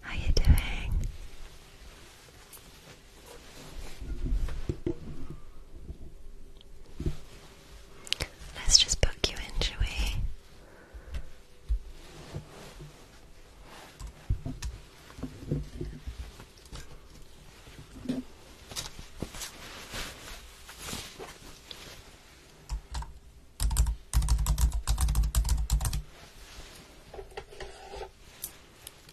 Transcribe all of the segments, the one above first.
How you doing? Let's just book you in, shall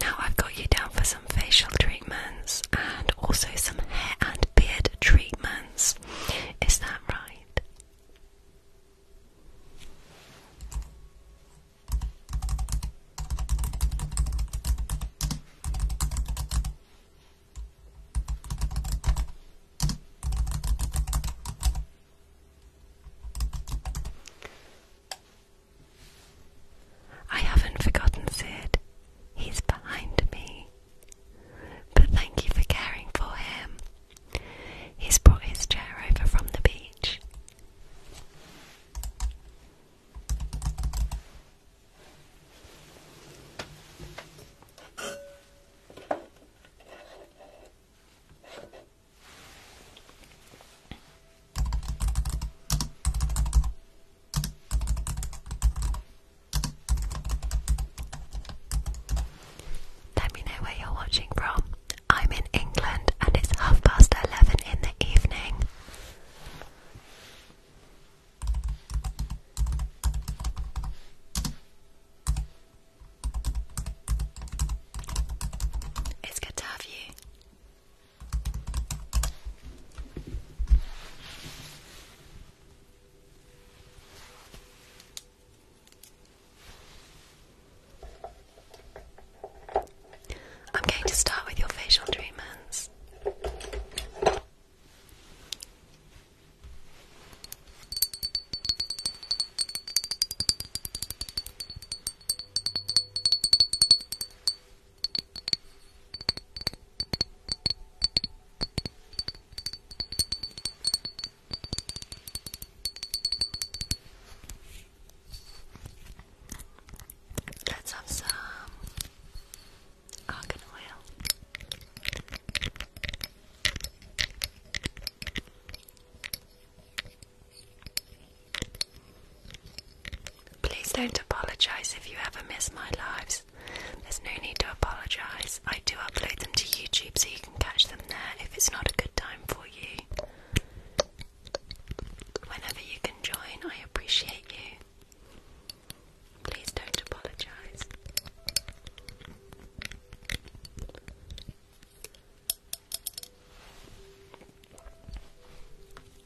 Now I've got you down for some facial treatments and also some hair and beard treatments. Is that right? I haven't forgotten Sid. He's behind me. But thank you for caring for him. He's brought his chair over from the beach. Let me know where you're watching from. I'm in England and it's half past 11 in the evening. It's good to have you. I'm going to start with your facial treatments. Let's have some argan oil. Please don't apologize if you ever miss my lives. There's no need to apologize. I do upload them to YouTube so you can catch them there if it's not a good time for you. Whenever you can join, I appreciate you. Please don't apologize.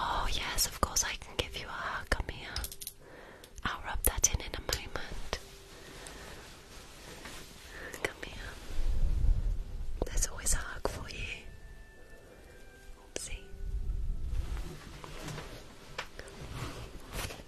Oh, yes, of course, I can give you a hug. Come I'll rub that in in a moment. Come here. There's always a hug for you. Oopsie.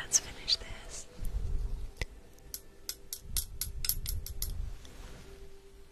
Let's finish this.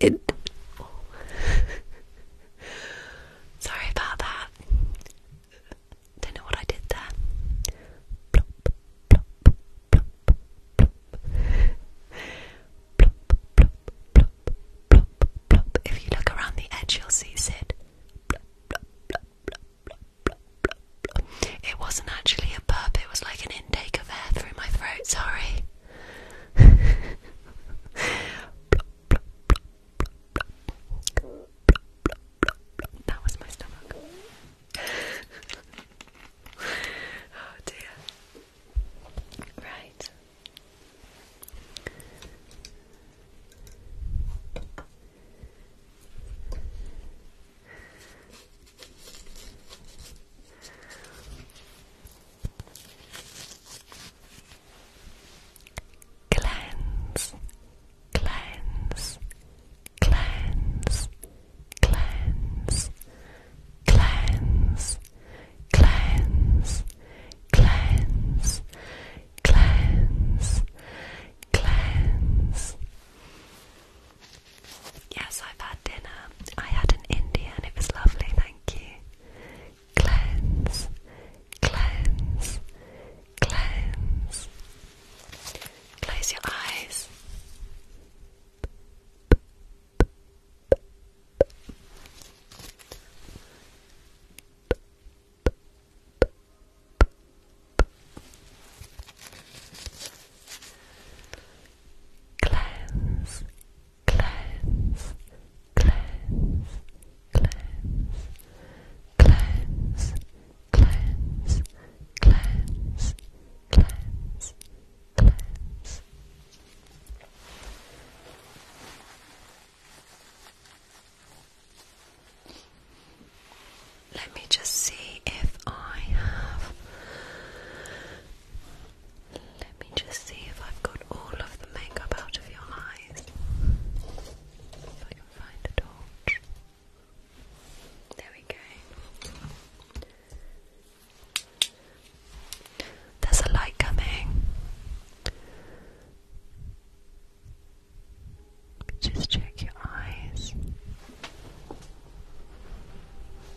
it. Sorry about that. Don't know what I did there. If you look around the edge, you'll see Sid. It wasn't actually a burp, it was like an intake of air through my throat. Sorry that was my stomach. oh dear. Right. Cleanse, cleanse, cleanse, cleanse, cleanse, cleanse, cleanse, cleanse, cleanse. Yes, I've had dinner. I had an Indian. It was lovely, thank you. Cleanse, cleanse, cleanse. Close your eyes. Cleanse, cleanse, cleanse, cleanse, cleanse, cleanse, cleanse, cleanse, cleanse. Let me just see if I have let me just see if I've got all of the makeup out of your eyes. If I can find a torch. There we go. There's a light coming. Just check your eyes.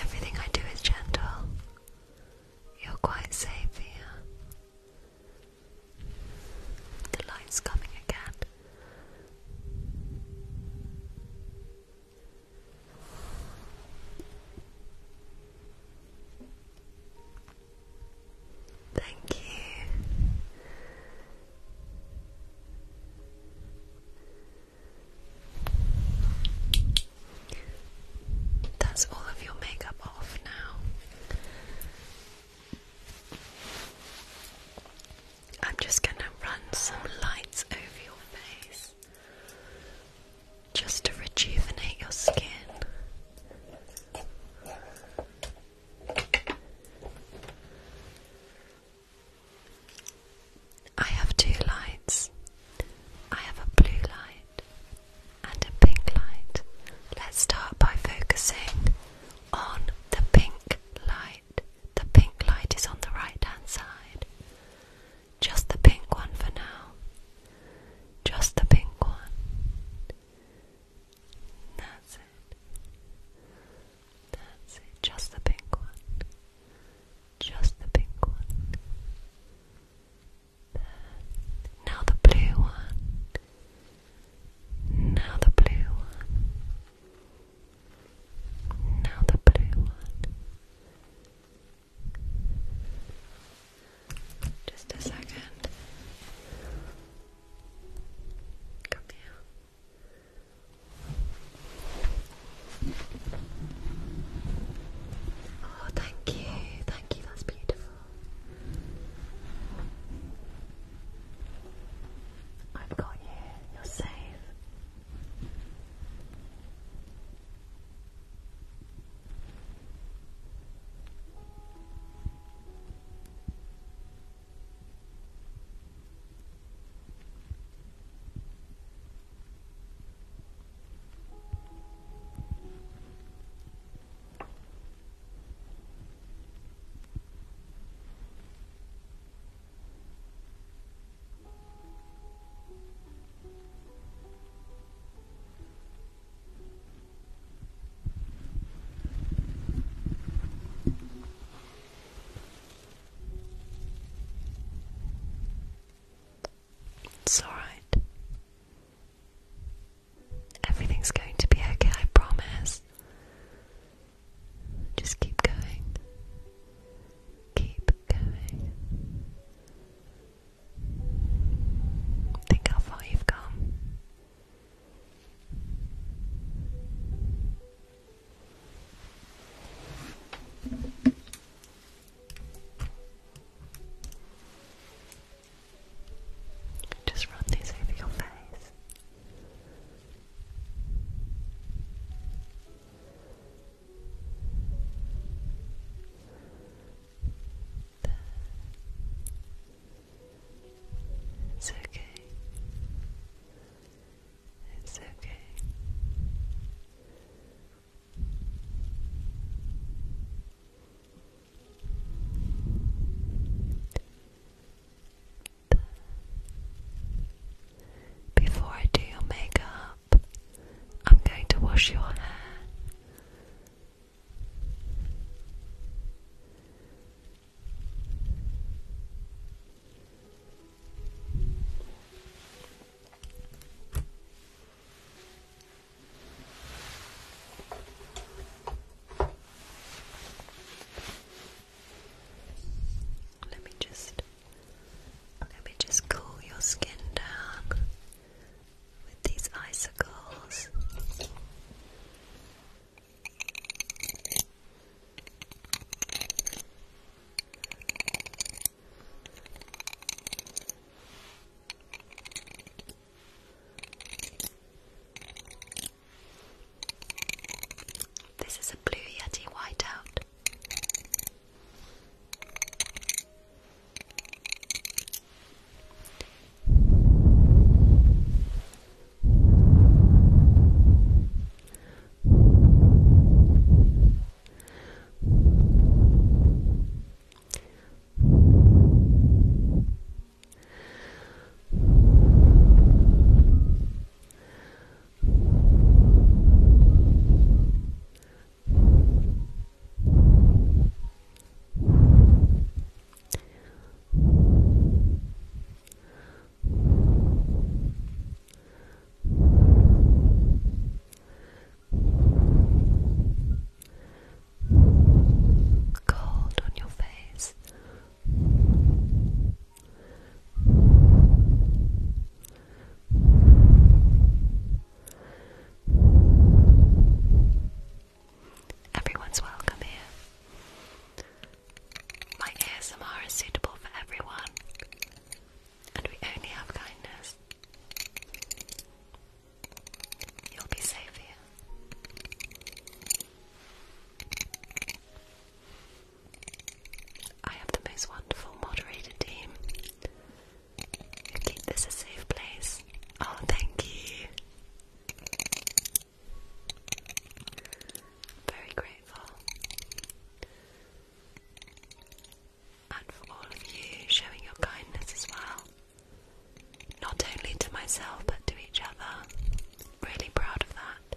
Everything I do is gentle. You're quite safe here. The light's coming again. Thank you. That's all of your makeup off now. I'm just going to run some lights over your face just to rejuvenate your skin. I have two lights. I have a blue light and a pink light. Let's start by focusing on the pink light. The pink light is on the right hand side. Just the pink one for now. Just the pink one. That's it. That's it. Just the pink one. Just the pink one. There. Now the blue one. Now the blue one. Now the blue one. Just a second. Oh, thank you. Thank you. That's beautiful. I've got you. You're safe. It's alright. Everything's going to be okay, I promise. Just keep going. Keep going. Think how far you've come. Just run these over your there. It's okay. It's okay. Before I do your makeup, I'm going to wash your hair. Let me just let me just cool your skin down with these icicles. This is a Blue Yeti whiteout. Cold on your face. Everyone's welcome here. My ASMR is suitable for everyone, and we only have kindness. You'll be safe here. I have the most wonderful moderator team. Keep this a safe place. Oh, thank you. Very grateful. And for all of you showing your kindness as well. Not only to myself, but to each other. Really proud of that.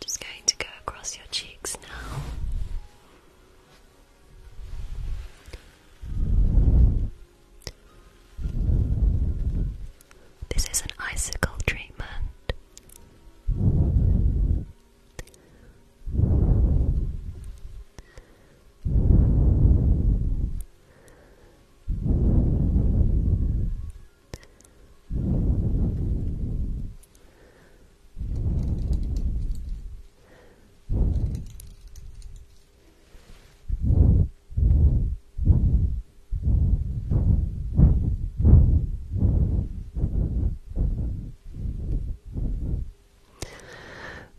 Just going to go across your cheeks now. This is an icicle treatment.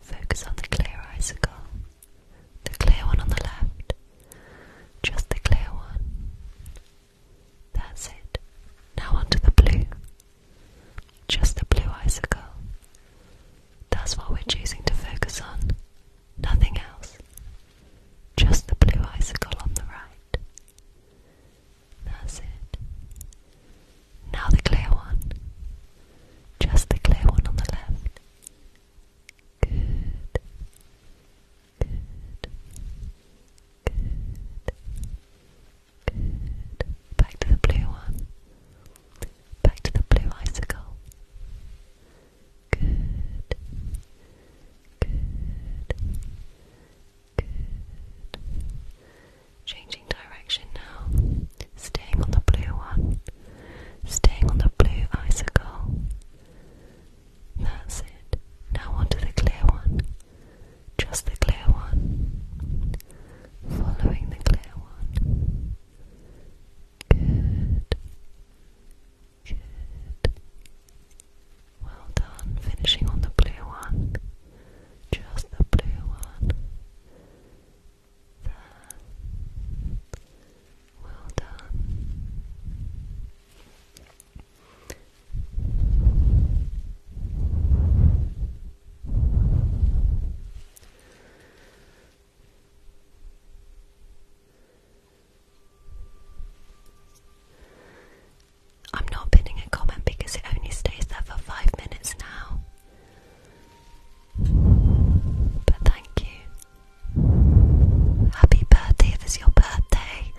Focus on the clear icicle, the clear one on the left, just the clear one. That's it. Now onto the blue. Just the blue icicle. That's what we're choosing to focus on. Nothing else. Just the blue icicle on the right. That's it. Now the clear one. Just the clear one on the left. Good. Good. Good. Good. Back to the blue one. Back to the blue icicle. Good. Good. Good. Changing direction now. Staying on the blue one. Staying on the blue icicle. That's it. Now onto the clear one. Just the clear one. Following the clear one. Good. Good. Well done. Finishing on the blue one. Just the blue one. Well done. I'm not pinning a comment because it only stays there for five minutes now. But thank you. Happy birthday if it's your birthday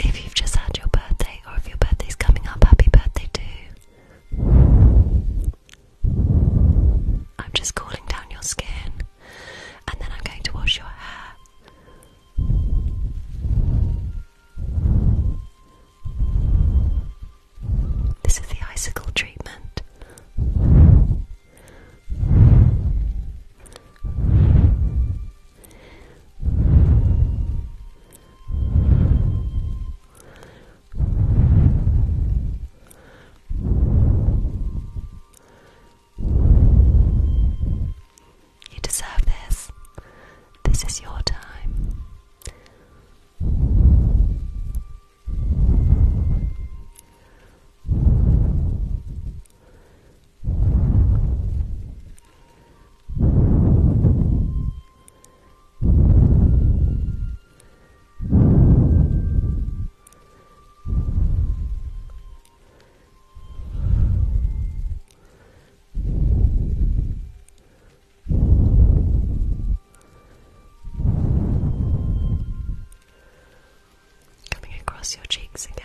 if you've just had your birthday or if your birthday's coming up, happy birthday too. I'm just cooling down your skin and then I'm going to wash your hair. This is the icicle treatment. You deserve this. This is your time. Coming across your cheeks again.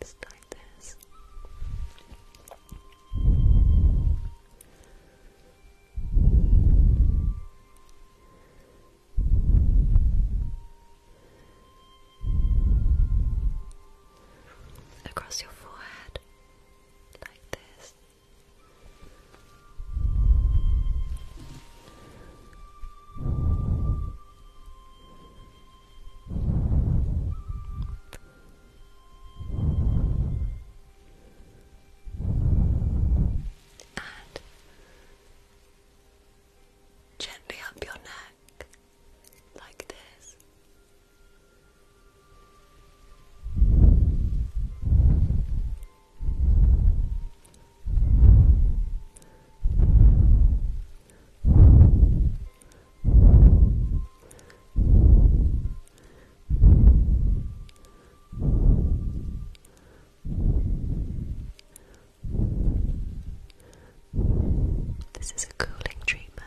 Just like this. Across your forehead, like this and gently up your neck like this. This is a cooling treatment.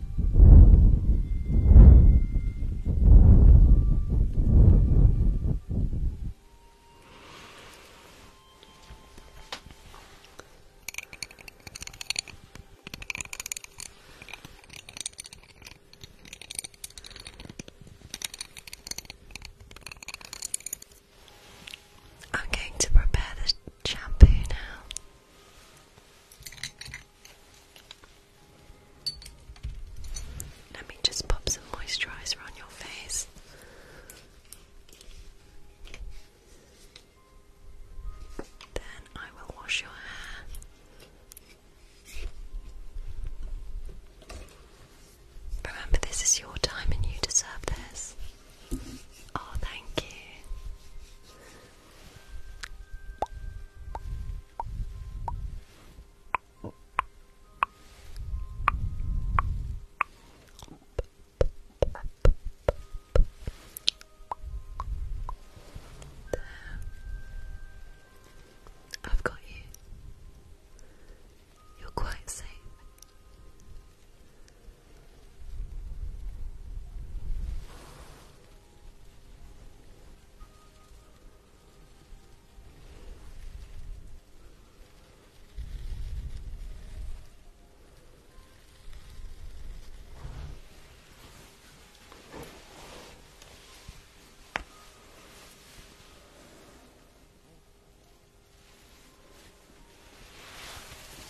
I'm going to prepare the shampoo now. Let me just pop some moisturizer on your face. Then I will wash your hair. Remember, this is your time and you deserve this. Oh, thank you. There. I've got you. You're quite safe.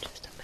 Just a moment.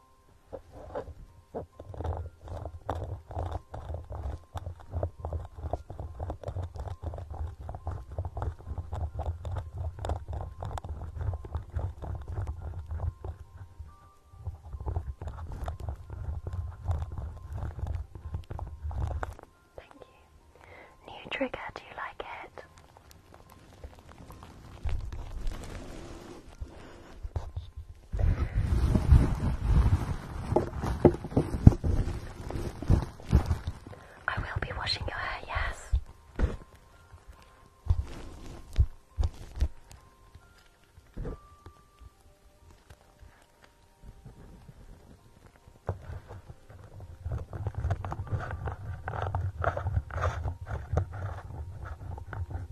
Thank you. New trigger, do you like it? I will be washing your hair, yes.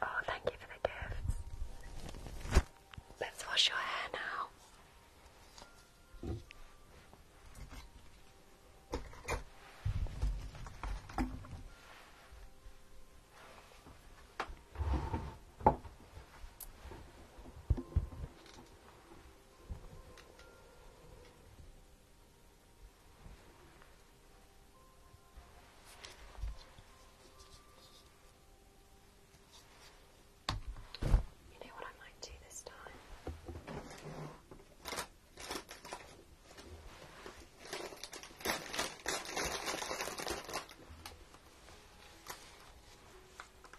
Oh, thank you for the gifts. Let's wash your hair now. You know what I might do this time?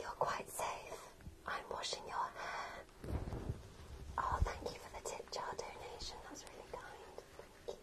You're quite safe. I'm washing your hair. Oh, thank you for the tip jar donation. That's really kind. Thank you.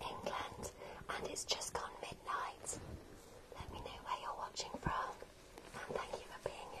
England, and it's just gone midnight. Let me know where you're watching from, and thank you for being here.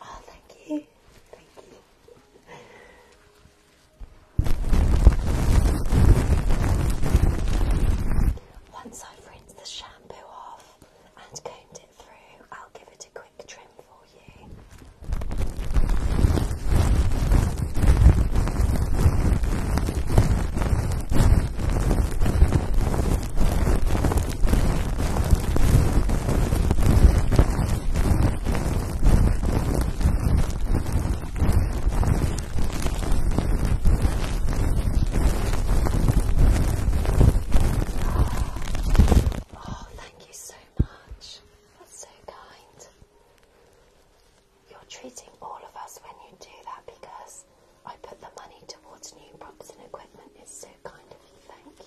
Oh, thank you. Thank you. Once I've rinsed the shampoo off and combed it through, I'll give it a quick trim for you. Oh, thank you so much. That's so kind. You're treating all of us when you do that because I put the money towards new props and equipment. It's so kind of you. Thank you.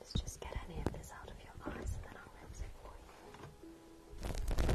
Let's just get any of this out of your eyes and then I'll rinse it for you.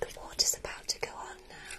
The water's about to go on now.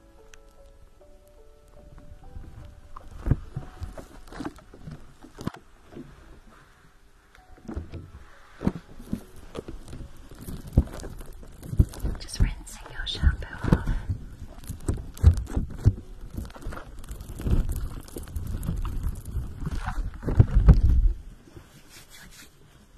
Just rinsing your shampoo off.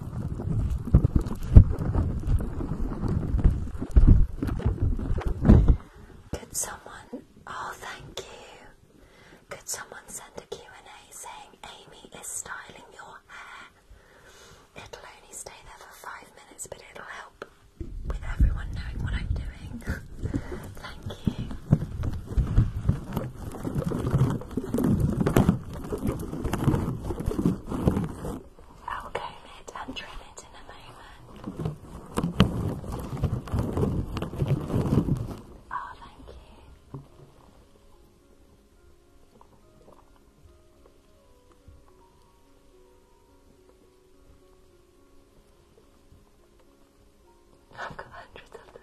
Could someone, oh thank you, could someone send a Q&A saying Amy is styling your hair? It'll only stay there for five minutes but it'll help with everyone knowing what I'm doing. thank you. I'll comb it and trim it in a moment. Oh, thank you. I've got hundreds of them.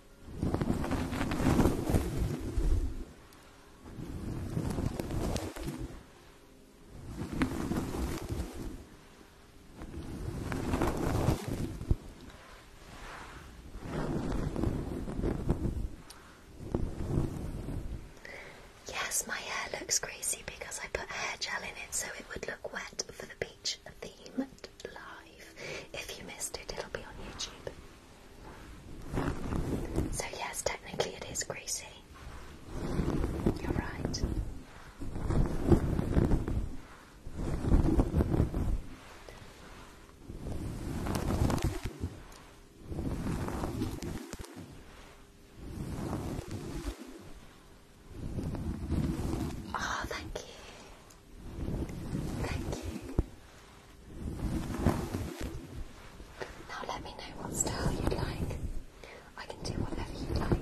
Yes, my hair looks greasy because I put hair gel in it so it would look wet for the beach live. If you missed it, it'll be on YouTube. So, yes, technically it is greasy. You're right. Oh, thank you. Thank you. Now let me know what style you'd like. I can do whatever you like.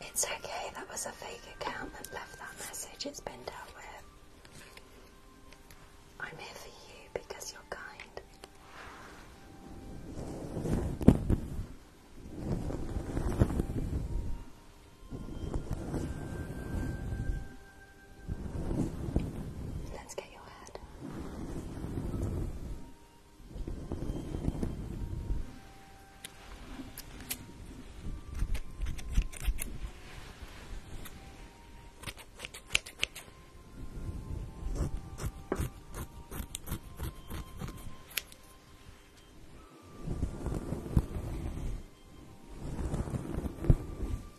It's okay, that was a fake account that left that message. It's been dealt with. I'm here for you because you're kind. Let's get your head. Good.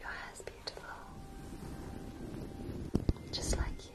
Your hair's beautiful, just like you.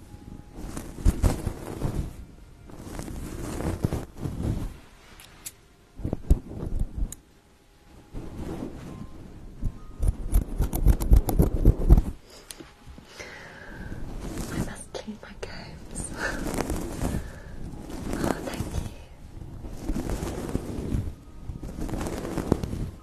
I must clean my games. oh, thank you.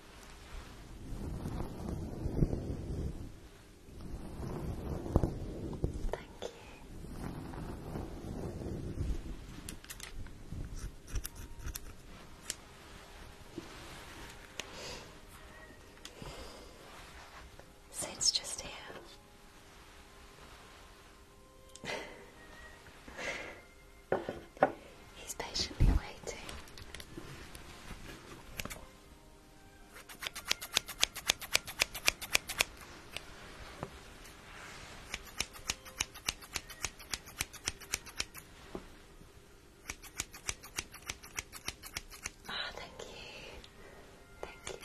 Thank you. it's just here. He's patiently waiting. Ah, thank you. Thank you.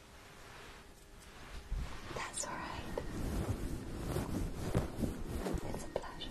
That's alright. It's a pleasure.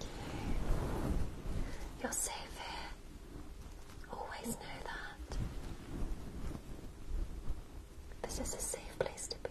you. are safe here. Always know that. This is a safe place to be.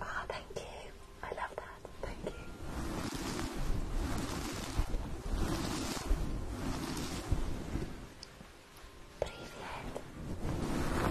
Ah, thank you. I love that. Thank you. Привет. Hello.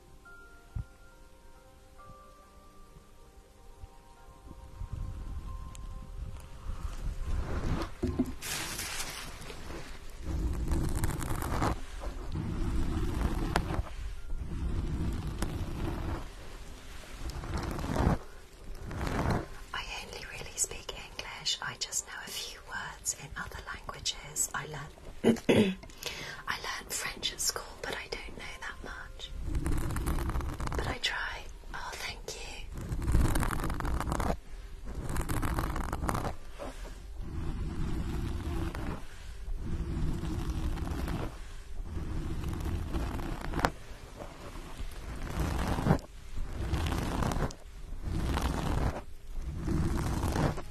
I only really speak English. I just know a few words in other languages. I learned I learned French at school, but I don't know that much. But I try. Oh, thank you.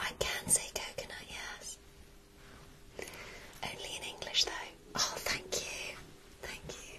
I can say coconut, yes. Only in English, though. Oh, thank you. Thank you.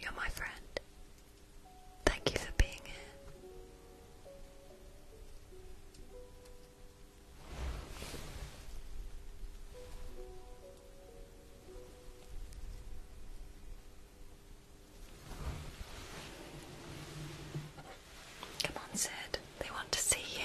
You're my friend. Thank you for being here. Come on, Sid. They want to see you.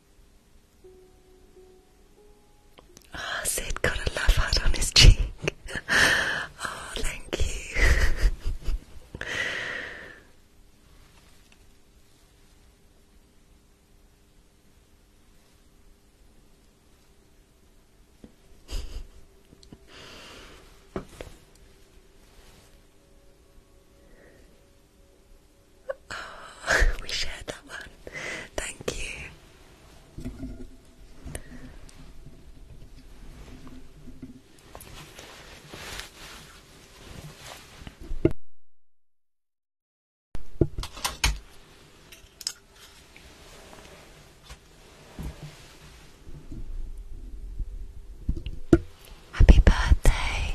Ah, oh, Sid got a love heart on his cheek. oh, thank you. we shared that one. Thank you. Happy birthday,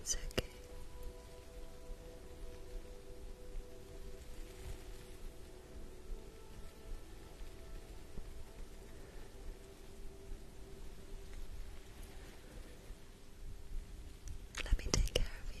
It's okay. Let me take care of you.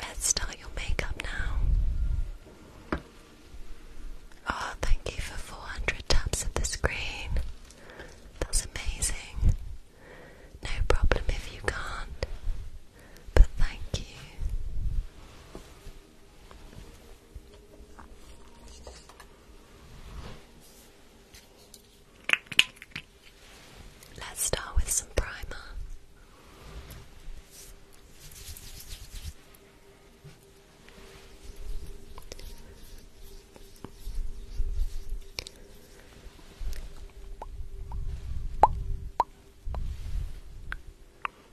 Let's start your makeup now. Oh, thank you for 400 taps of the screen. That's amazing. No problem if you can't, but thank you. Let's start with some primer.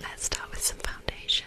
Let's start with some foundation.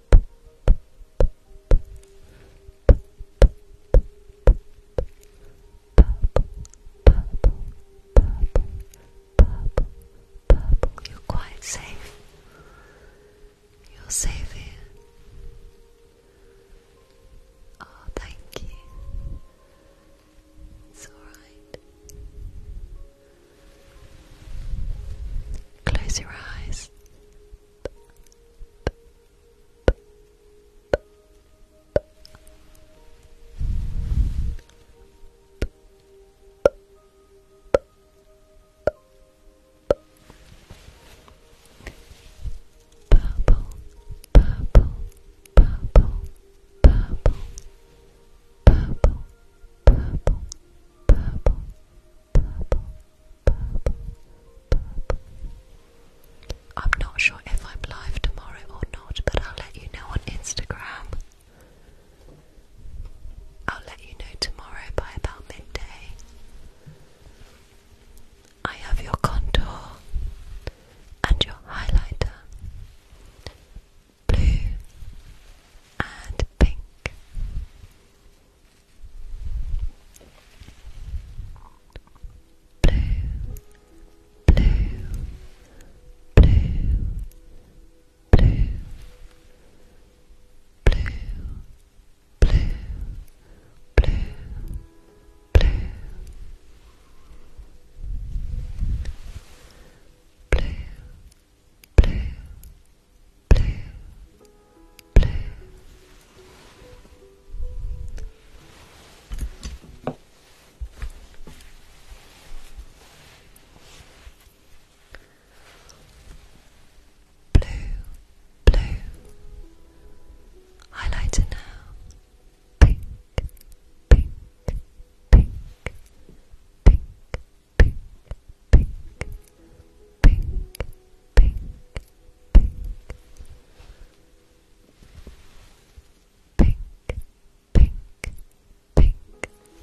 purple. You're quite safe. You're safe here. Oh, thank you. It's alright. Close your eyes. Purple, purple, purple, purple, purple, purple, purple, purple, purple, purple. I'm not sure if I'm live tomorrow or not, but I'll let you know on Instagram. I'll let you know tomorrow by about midday. I have your contour and your highlighter blue and pink. Blue, blue, blue, blue, blue, blue, blue, blue, blue, blue, blue, blue. Blue, blue, highlighter now. Pink, pink, pink, pink, pink, pink, pink, pink, pink, pink, pink, pink.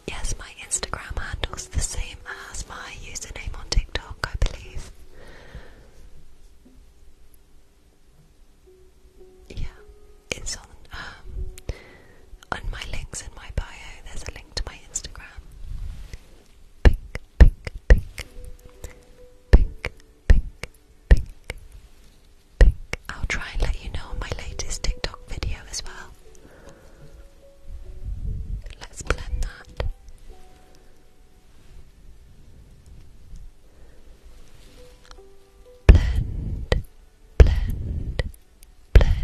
Yes, my Instagram handle's the same as my username on TikTok, I believe. Yeah, it's on. Um, on my links in my bio, there's a link to my Instagram. Pink, pink, pink. Pink, pink, pink. Pink. I'll try and let you know on my latest TikTok video as well. Let's blend that. Blend, blend, blend, blend,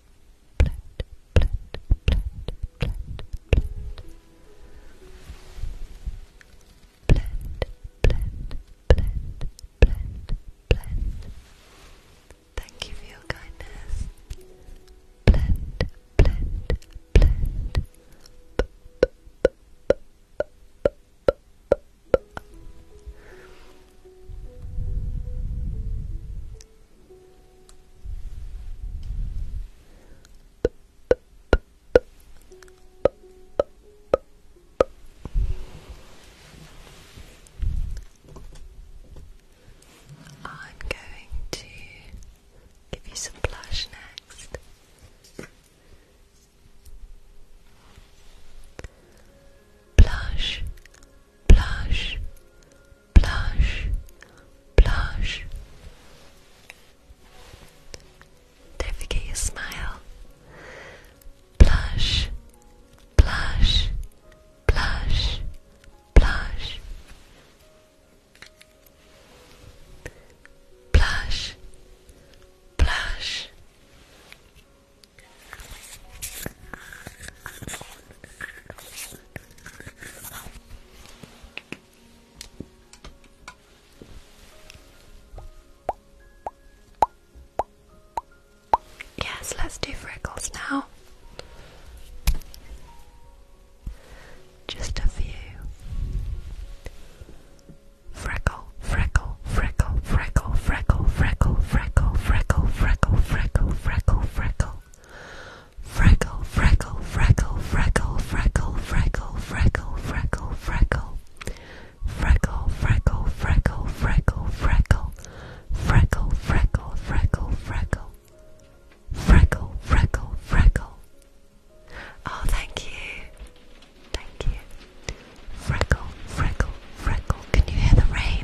blend, blend, blend, blend, blend. Blend, blend, blend, blend, blend. Thank you for your kindness. Blend, blend, blend. I'm going to give you some blush next. Blush, blush, blush, blush. Don't forget your smile. Blush, blush, blush, blush. Blush, blush. Yes, let's do freckles now. Just a few. Freckle, freckle, freckle, freckle, freckle, freckle, freckle, freckle, freckle, freckle, freckle, freckle. Freckle, freckle, freckle, freckle, freckle, freckle, freckle, freckle, freckle. Freckle, freckle, freckle, freckle, freckle. Freckle, freckle, freckle, freckle. Freckle, freckle, Oh, thank you. Thank you. Freckle, freckle, freckle. Can you hear the rain?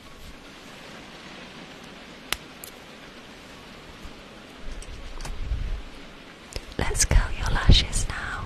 Let's curl your lashes now.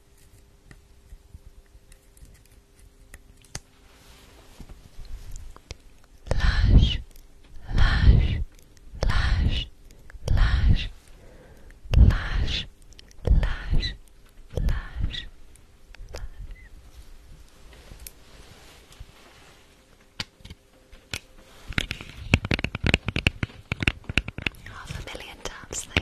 Lash, lash, lash, lash, lash, lash, lash, half a million times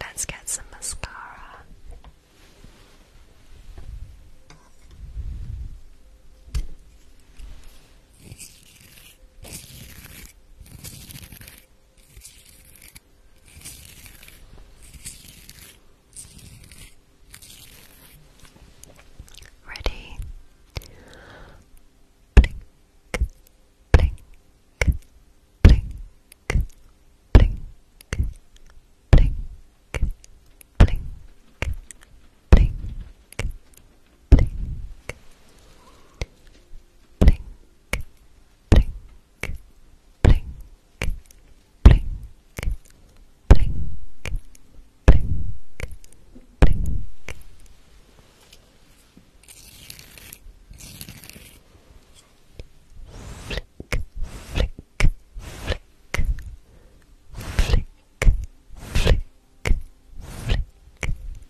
Let's get some mascara. Ready? Blink, blink, blink, blink, blink, blink, blink, blink, blink, blink, blink, blink, blink, blink, blink, blink. Flick, flick, flick, flick, flick, flick, flick,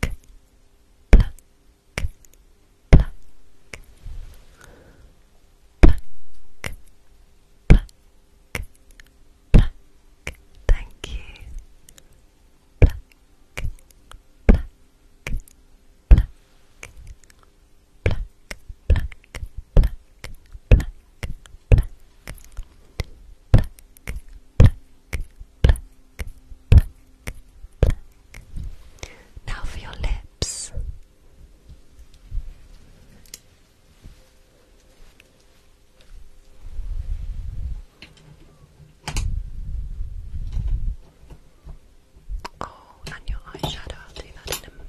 pluck, pluck, pluck, pluck, pluck. Thank you. Pluck, pluck, pluck, pluck, pluck, pluck, pluck, pluck. Pluck, pluck, pluck, pluck, now for your lips. Oh, and your eyeshadow, I'll do that in a moment.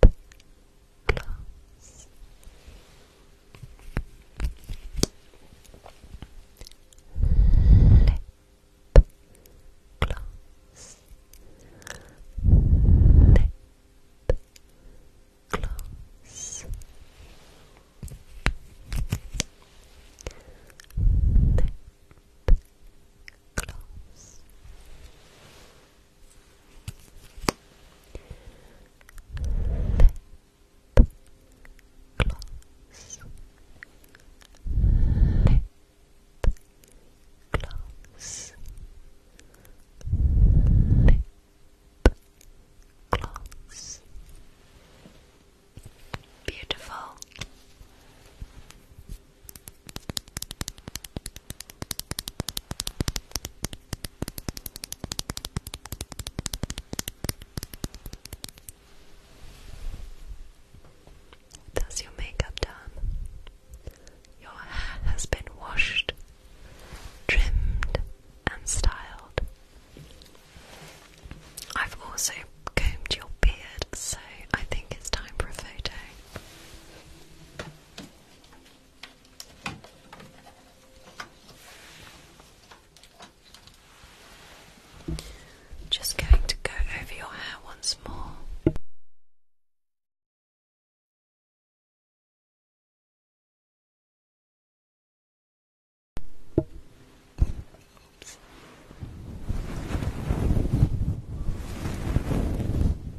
gloss. Lip gloss. Lip gloss. Lip gloss. Lip gloss lip gloss, lip gloss, lip gloss. Beautiful. That's your makeup done. Your hair has been washed, trimmed, and styled. I've also combed your beard, so I think it's time for a photo. Just going to go over your hair once more.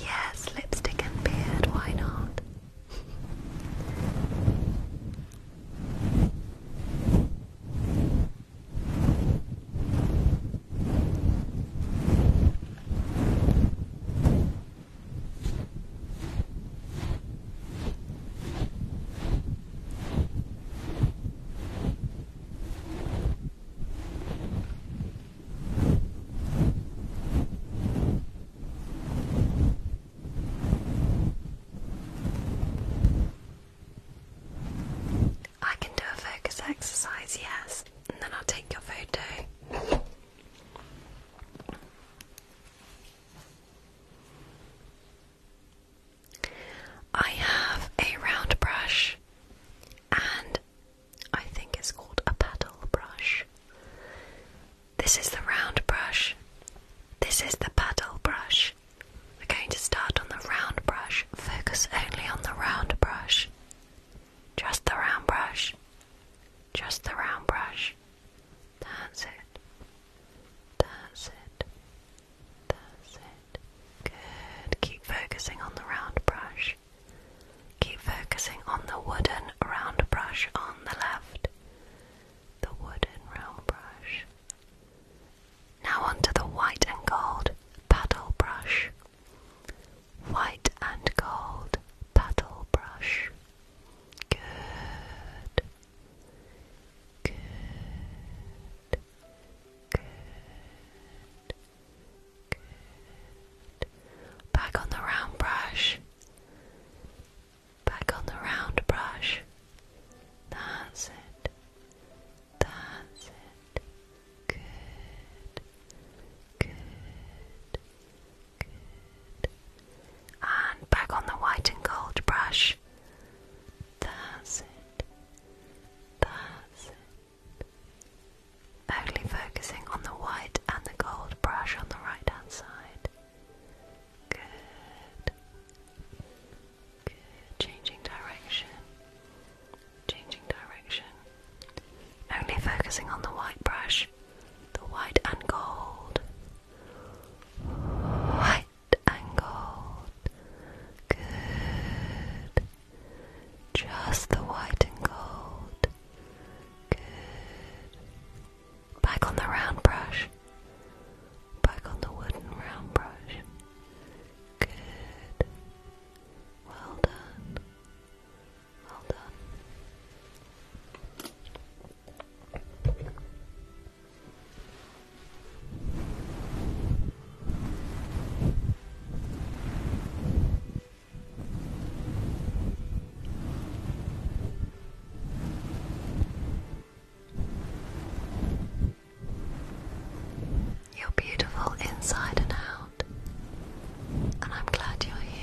Yes, lipstick and beard, why not? I can do a focus exercise, yes, and then I'll take your photo. I have a round brush and I think it's called a paddle brush. This is the round brush. This is the paddle brush. We're going to start on the round brush. Focus only on the round brush. Just the round brush. Just the round brush. That's it. That's it. That's it. Good. Keep focusing on the round brush. Keep focusing on the wooden round brush on the left. The wooden round brush. Now onto the white and gold paddle brush. White and gold paddle brush. Good. Good. Good. Back on the round brush. Back on the round brush. That's it. That's it. Good. Good. Good. And back on the white and gold brush. That's it. That's it. Only focusing on the white and the gold brush on the right hand side. Good. Good. Changing direction. Changing direction. Only focusing on the white brush. The white and gold. White and gold. Good. Just the white and gold. Good. Back on the round brush. Back on the wooden round brush. Good. Well done. Well done. You're beautiful inside and out, and I'm glad you're here.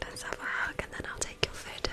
Let's have a hug and then I'll take your photo.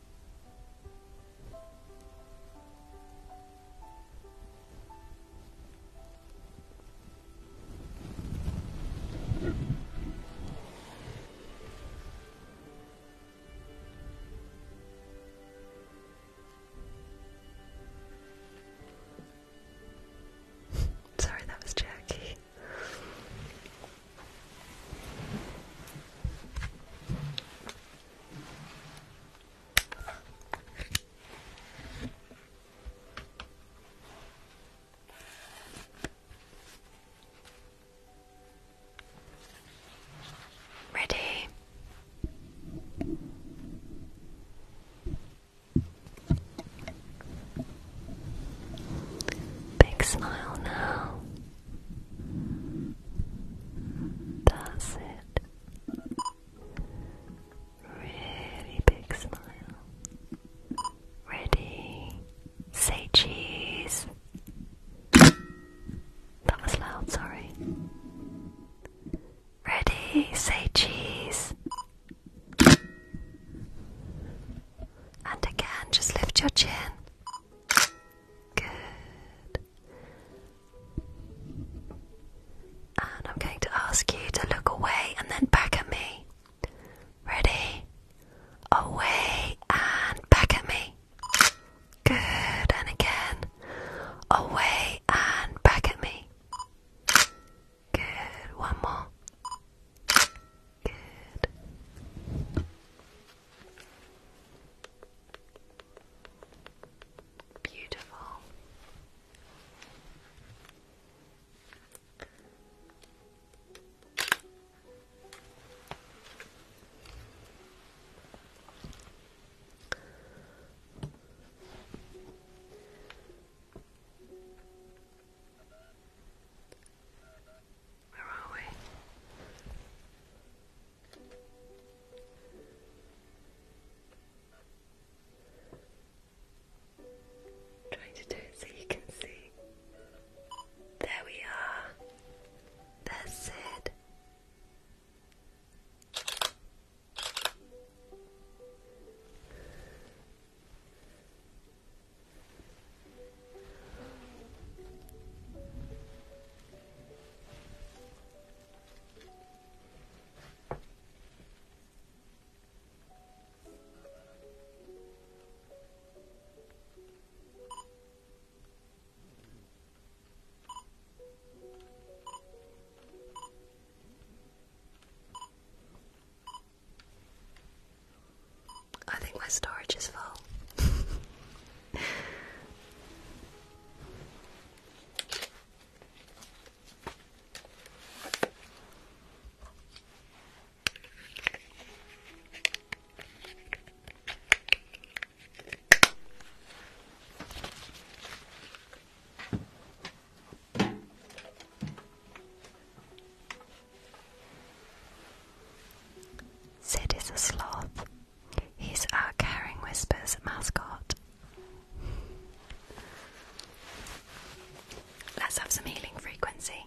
Sorry, that was Jackie. Ready? Big smile now. That's it. Really big smile. Ready? Say cheese. That was loud, sorry. Ready? Say cheese. And again, just lift your chin. Good. And I'm going to ask you to look away and then back at me. Ready? Away and back at me. Good, and again. Away and back at me. Good, one more. Good. Beautiful. Where are we? trying to do it so you can see. There we are. That's it. I think my storage is full. Sid is a sloth. He's our uh, Caring Whispers mascot. Let's have some healing frequency.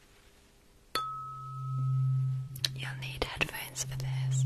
You'll need headphones for this.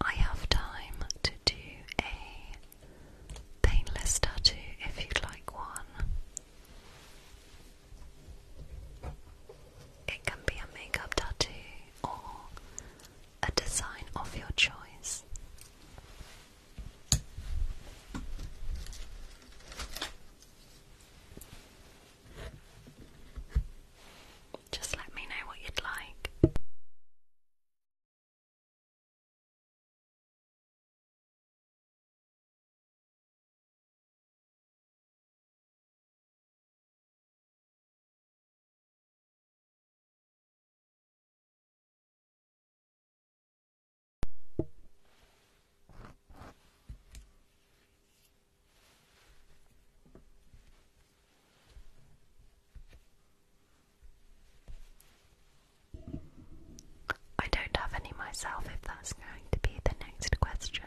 I have time to do a painless tattoo if you'd like one. It can be a makeup tattoo or a design of your choice. Just let me know what you'd like. I don't have any myself if that's going to be the next question.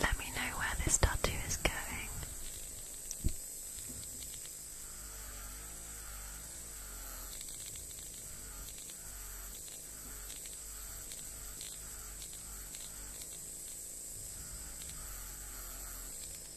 Let me know where this tattoo is going.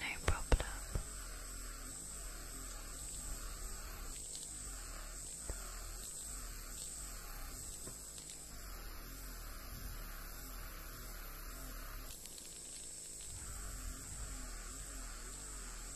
No problem.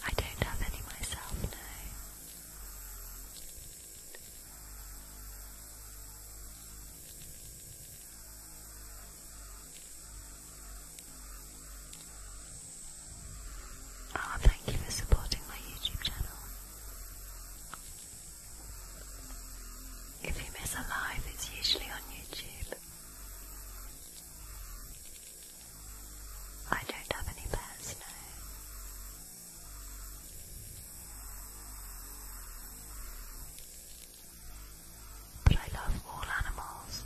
I don't have any myself, no. Oh, thank you for supporting my YouTube channel. If you miss a live, it's usually on YouTube. I don't have any pets, no. But I love all animals.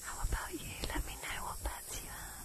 How about you? Let me know what pets you have.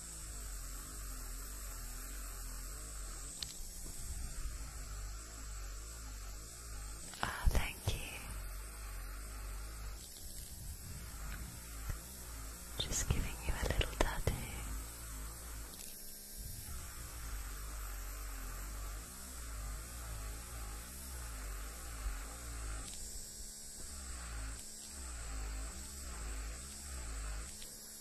Ah, thank you. Just giving you a little tattoo.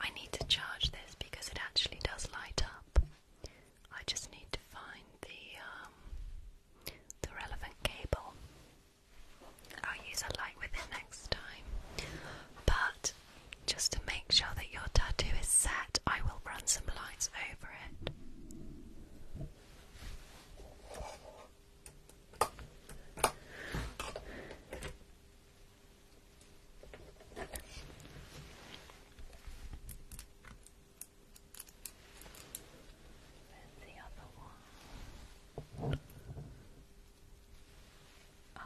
I need to charge this because it actually does light up. I just need to find the um, the relevant cable. I'll use a light with it next time. But just to make sure that your tattoo is set, I will run some lines over it. I'm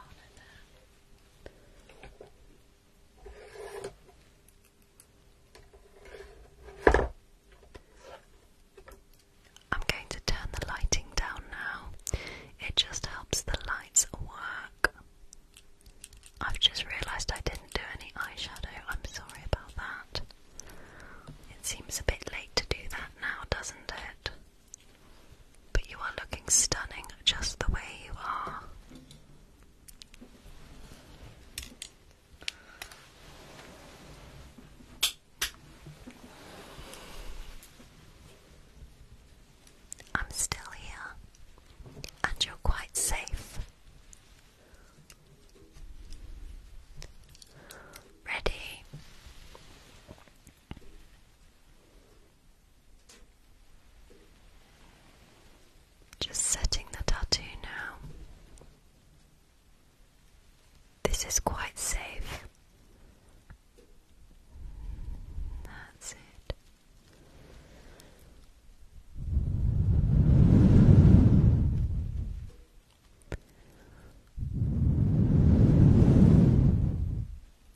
going to turn the lighting down now. It just helps the lights work. I've just realised I didn't do any eyeshadow. I'm sorry about that. It seems a bit late to do that now, doesn't it? But you are looking stunning just the way you are. I'm still here, and you're quite safe. Ready? Just setting the tattoo now. This is quite safe. That's it.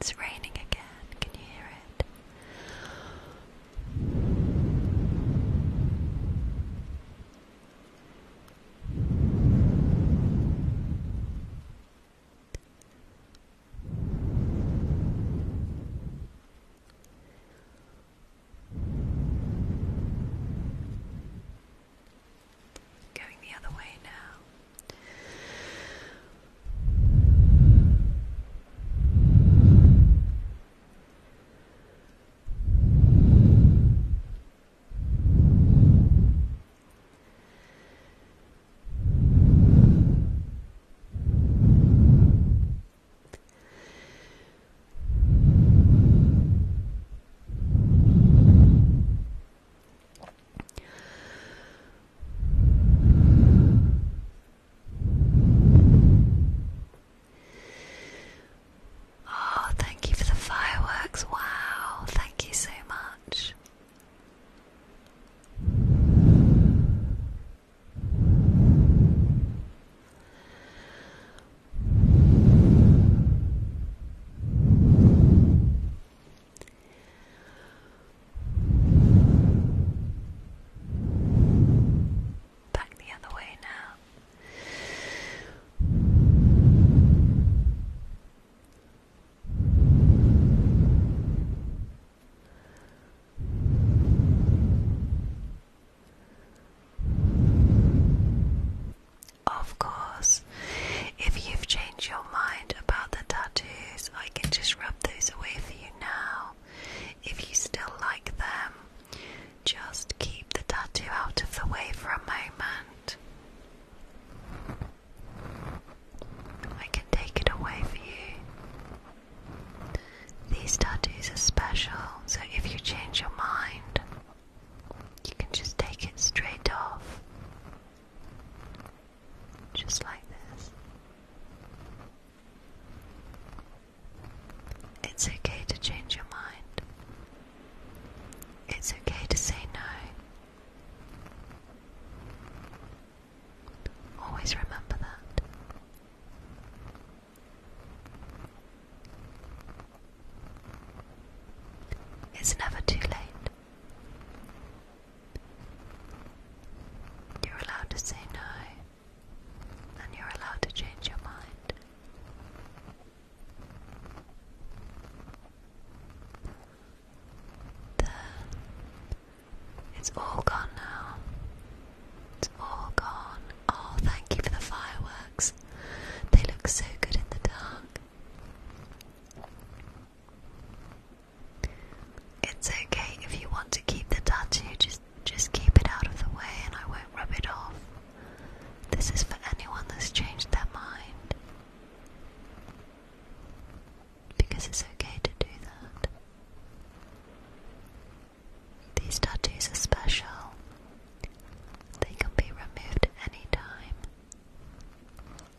It's raining again. Can you hear it? Going the other way now. Oh, thank you for the fireworks. Wow, thank you so much. Back the other way now. Of course, if you've changed your mind about the tattoos, I can just rub those away for you now. If you still like them, just keep the tattoo out of the way for a moment. I can take it away for you. These tattoos are special, so if you change your mind, you can just take it straight off, just like this. It's okay to change your mind. It's okay to say no. Always remember that. It's never too late. You're allowed to say no, and you're allowed to change your mind. There. It's all gone now. It's all gone. Oh, thank you for the fireworks. They look so good in the dark. It's okay if you want to keep the tattoo, just just keep it out of the way and I won't rub it off. This is for anyone that's changed their mind. Because it's okay to do that. These tattoos are special. They can be removed any time.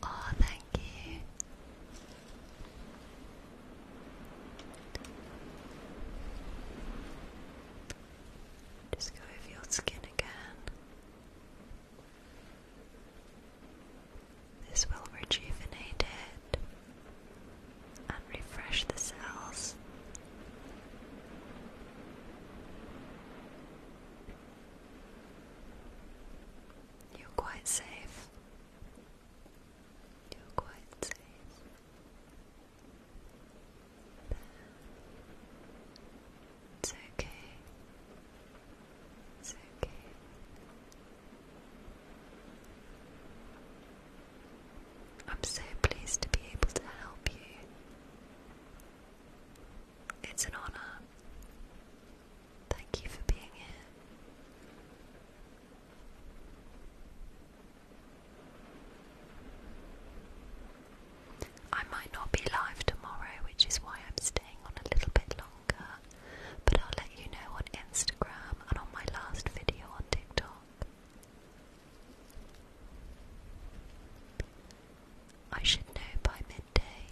Oh, thank you. Just go over your skin again. This will rejuvenate it and refresh the cells. You're quite safe. You're quite safe. It's okay. It's okay. I'm so pleased to be able to help you. It's an honor. Thank you for being here. I might not be live tomorrow, which is why I'm staying on a little bit longer, but I'll let you know on Instagram and on my last video on TikTok. I should know by midday.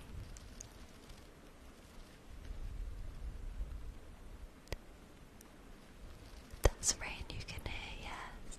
That's rain you can hear, yes.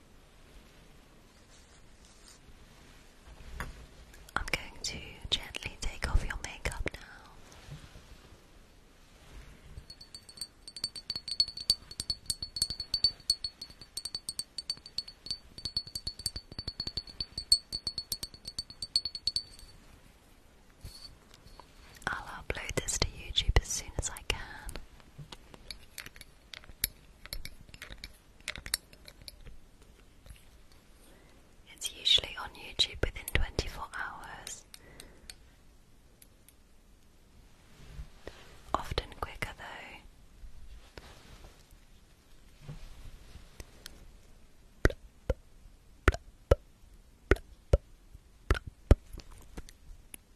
I'm going to gently take off your makeup now. I'll upload this to YouTube as soon as I can. It's usually on YouTube within 24 hours. Often quicker though.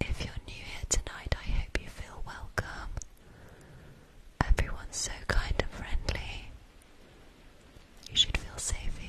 If you're new here tonight, I hope you feel welcome. Everyone's so kind and friendly. You should feel safe here.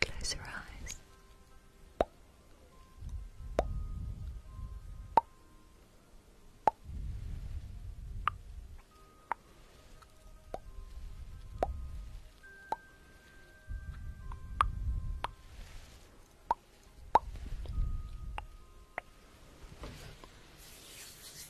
Close your eyes. Good.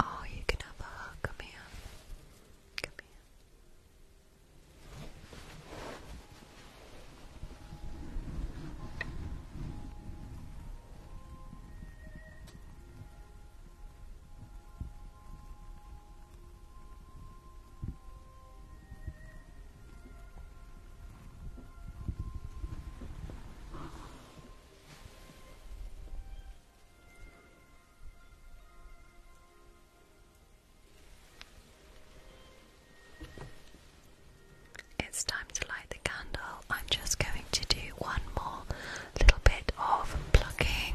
Oh, you can have a hug. Come it's time to light the candle. I'm just going to do one more little bit of plugging.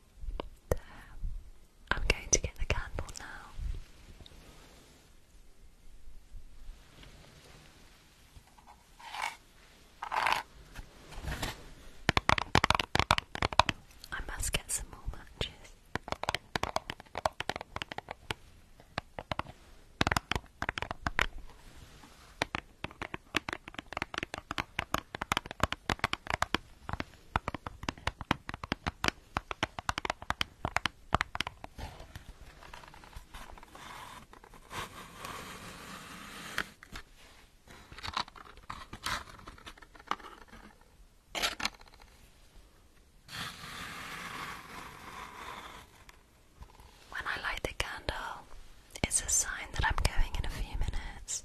I'm going to get the candle now. I must get some more matches. When I light the candle, it's a sign that I'm going in a few minutes.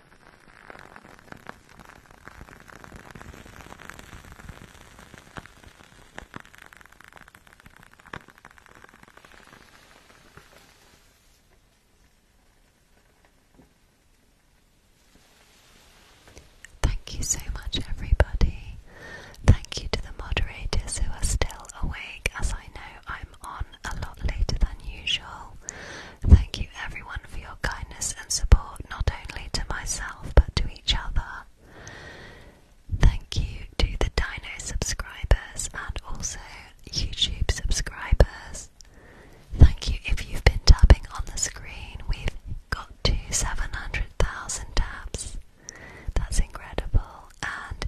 Thank you so much, everybody. Thank you to the moderators who are still awake, as I know I'm on a lot later than usual. Thank you everyone for your kindness and support, not only to myself but to each other. Thank you to the Dino subscribers and also YouTube subscribers. Thank you if you've been tapping on the screen. We've got to 700,000 taps. That's incredible. And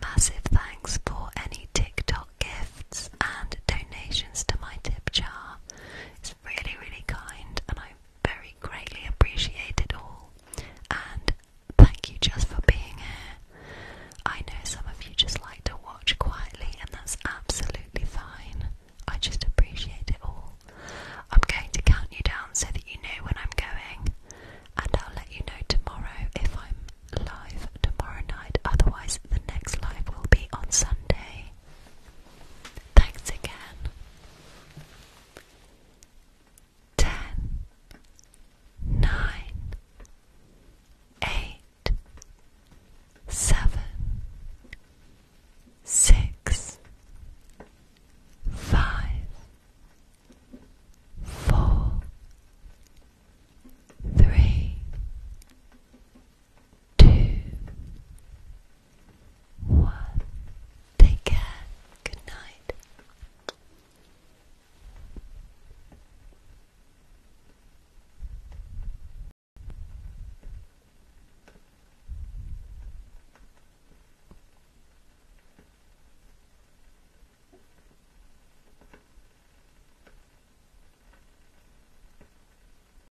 massive thanks for any TikTok gifts and donations to my tip jar is really, really kind, and I very greatly appreciate it all. And thank you just for being here. I know some of you just like to watch quietly, and that's absolutely fine. I just appreciate it all. I'm going to count you down so that you know when I'm going, and I'll let you know tomorrow if I'm live tomorrow night. Otherwise, the next live will be on Sunday. Thanks again. Ten, nine, eight, seven, six, five, four, three, two, one. Take care. Good night.